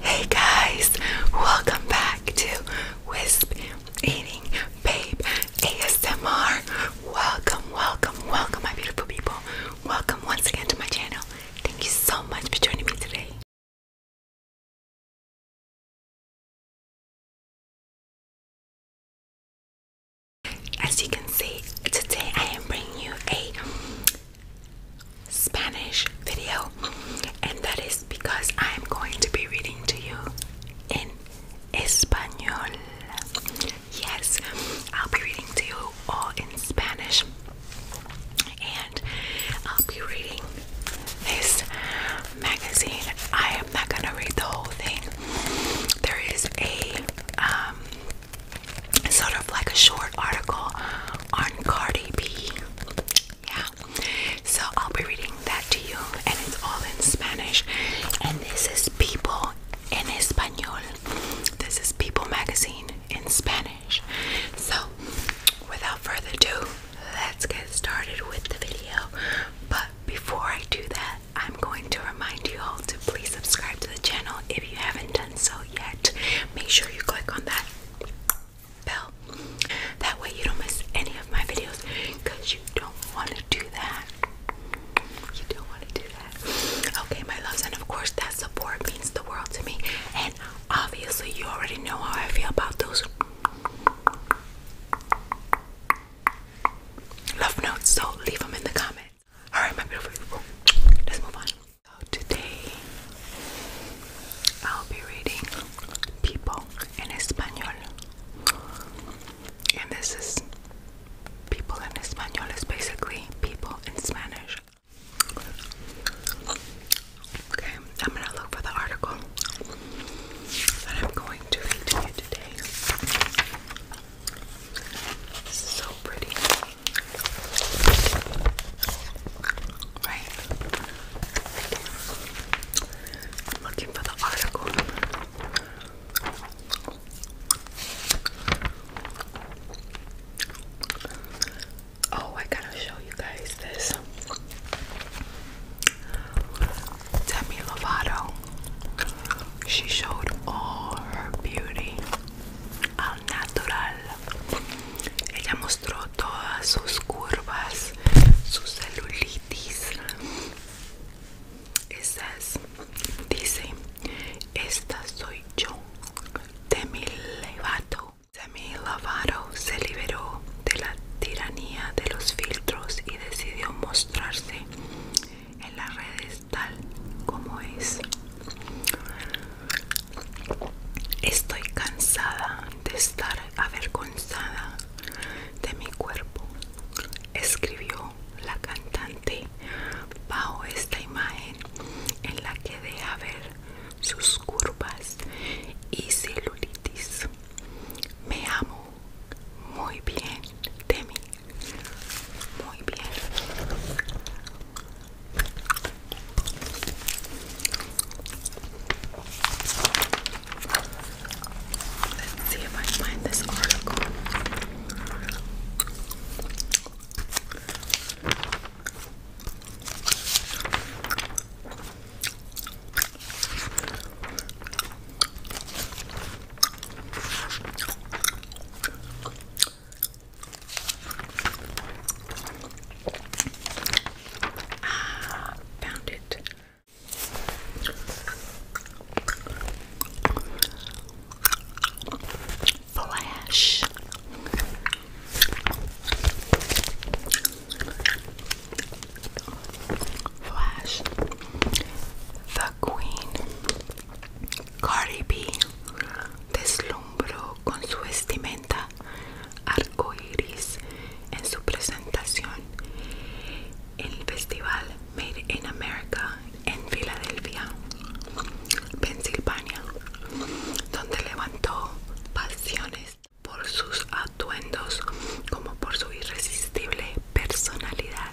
Hey guys, welcome back to Wisp Eating Babe ASMR. Welcome, welcome, welcome, my beautiful people. Welcome once again to my channel. Thank you so much for joining me today. As you can see, today I am bringing you a Spanish video, and that is because I am going to be reading to you in Espanol. Yes, I'll be reading to you all in Spanish, and I'll be reading this magazine. I am not gonna read the whole thing. There is a um, sort of like a short article on Cardi B. Yeah. So I'll be reading that to you and it's all in Spanish. And this is People en Español. This is People magazine in Spanish. So without further ado, let's get started with the video. But before I do that, I'm going to remind you all to please subscribe to the channel if you haven't done so yet, make sure you click on that bell. That way you don't miss any of my videos because you don't want to do that. You don't want to do that. Okay, my loves, and of course that support means the world to me. And obviously you already know how I feel about those love notes, so leave them in the comments. Alright, my beautiful people, let's move on. So today I'll be reading People in Spanish, And this is People in Spanish." is basically people in Spanish. Okay, I'm gonna look for the article that I'm going to read today so pretty. Right. I'm looking for the article. Oh, I gotta show you guys this. Demi Lovato. She showed all her beauty al natural. Ella mostró todas sus curvas, su celulitis. Esas, dice, esta soy yo, Demi de Demi Lovato se liberó de la tiranía de los filtros y decidió mostrarse en las redes tal como es. Estoy cansada de estar avergonzada de mi cuerpo, escribió la cantante bajo esta imagen en la que deja ver sus curvas y celulitis. Me amo muy bien de mí. Muy bien. Let's see if I find this article. Ah, found it. Flash. Flash. The Queen. Cardi B deslumbró con su vestimenta arcoiris en su presentación en el festival Made in America en Filadelfia, Pensilvania, donde levantó pasiones por sus atuendos como por su irresistible personalidad.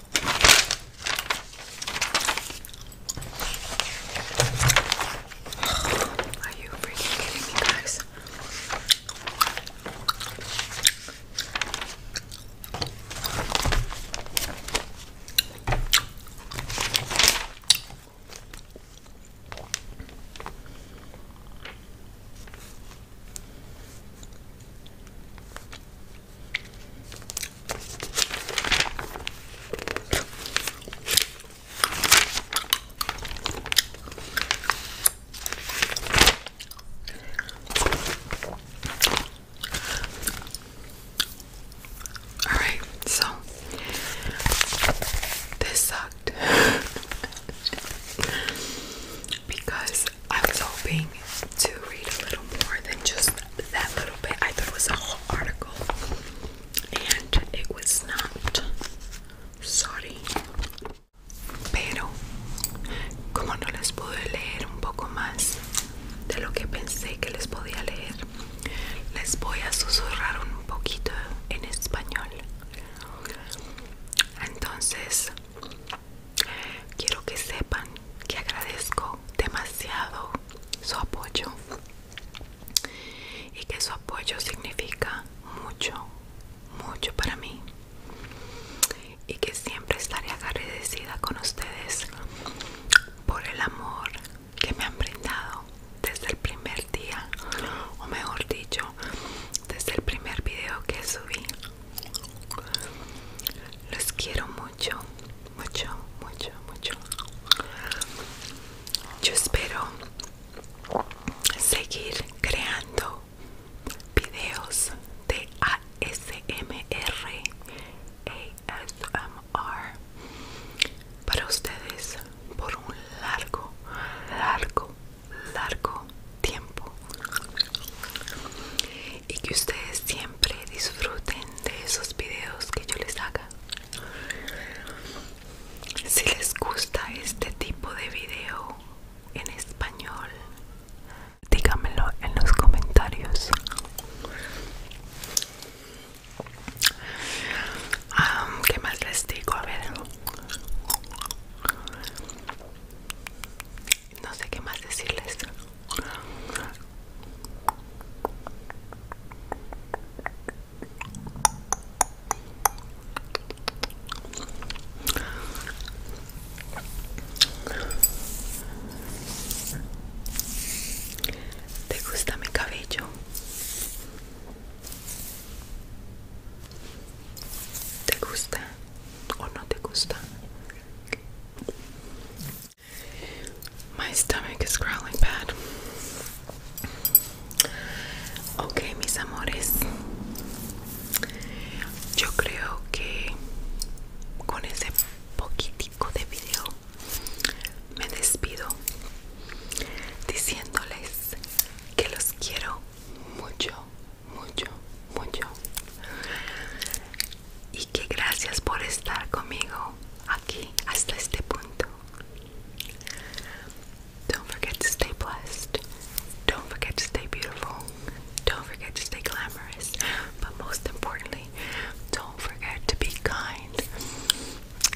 Are you freaking kidding me, guys? All right, so this sucked. because I was hoping to read a little more than just that little bit. I thought it was a whole article, and it was not. Sorry. Pero, como no les pude leer un poco más de lo que pensé que les podía leer, les voy a susurrar un poquito en español. Entonces, Quiero que sepan que agradezco demasiado su apoyo y que su apoyo significa mucho, mucho para mí y que siempre estaré agradecida con ustedes por el amor que me han brindado desde el primer día o mejor dicho desde el primer video que subí. Los quiero mucho, mucho, mucho, mucho. Yo espero seguir creando videos de ASMR, ASMR para ustedes por un largo, largo largo tiempo y que ustedes siempre disfruten de esos videos que yo les haga si les gusta este tipo de video en español dígamelo en los comentarios um, qué más les digo a ver no sé qué más decirles ¿Te gusta mi cabello? ¿Te gusta o no te gusta? My stomach is growling bad. Ok, mis amores. Yo creo que con ese poquitico de video me despido diciéndoles que los quiero mucho, mucho, mucho. Y que gracias por estar conmigo aquí hasta este punto. Don't forget to stay blessed. Don't forget to stay beautiful. Don't forget to stay glamorous. But most importantly, don't forget to be kind.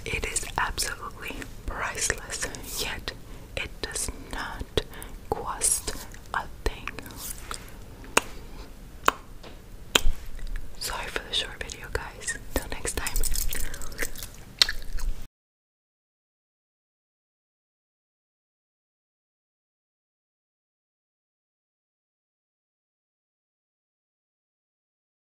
It is absolutely priceless, yet it does not cost a thing. Sorry for the short video, guys. Till next time.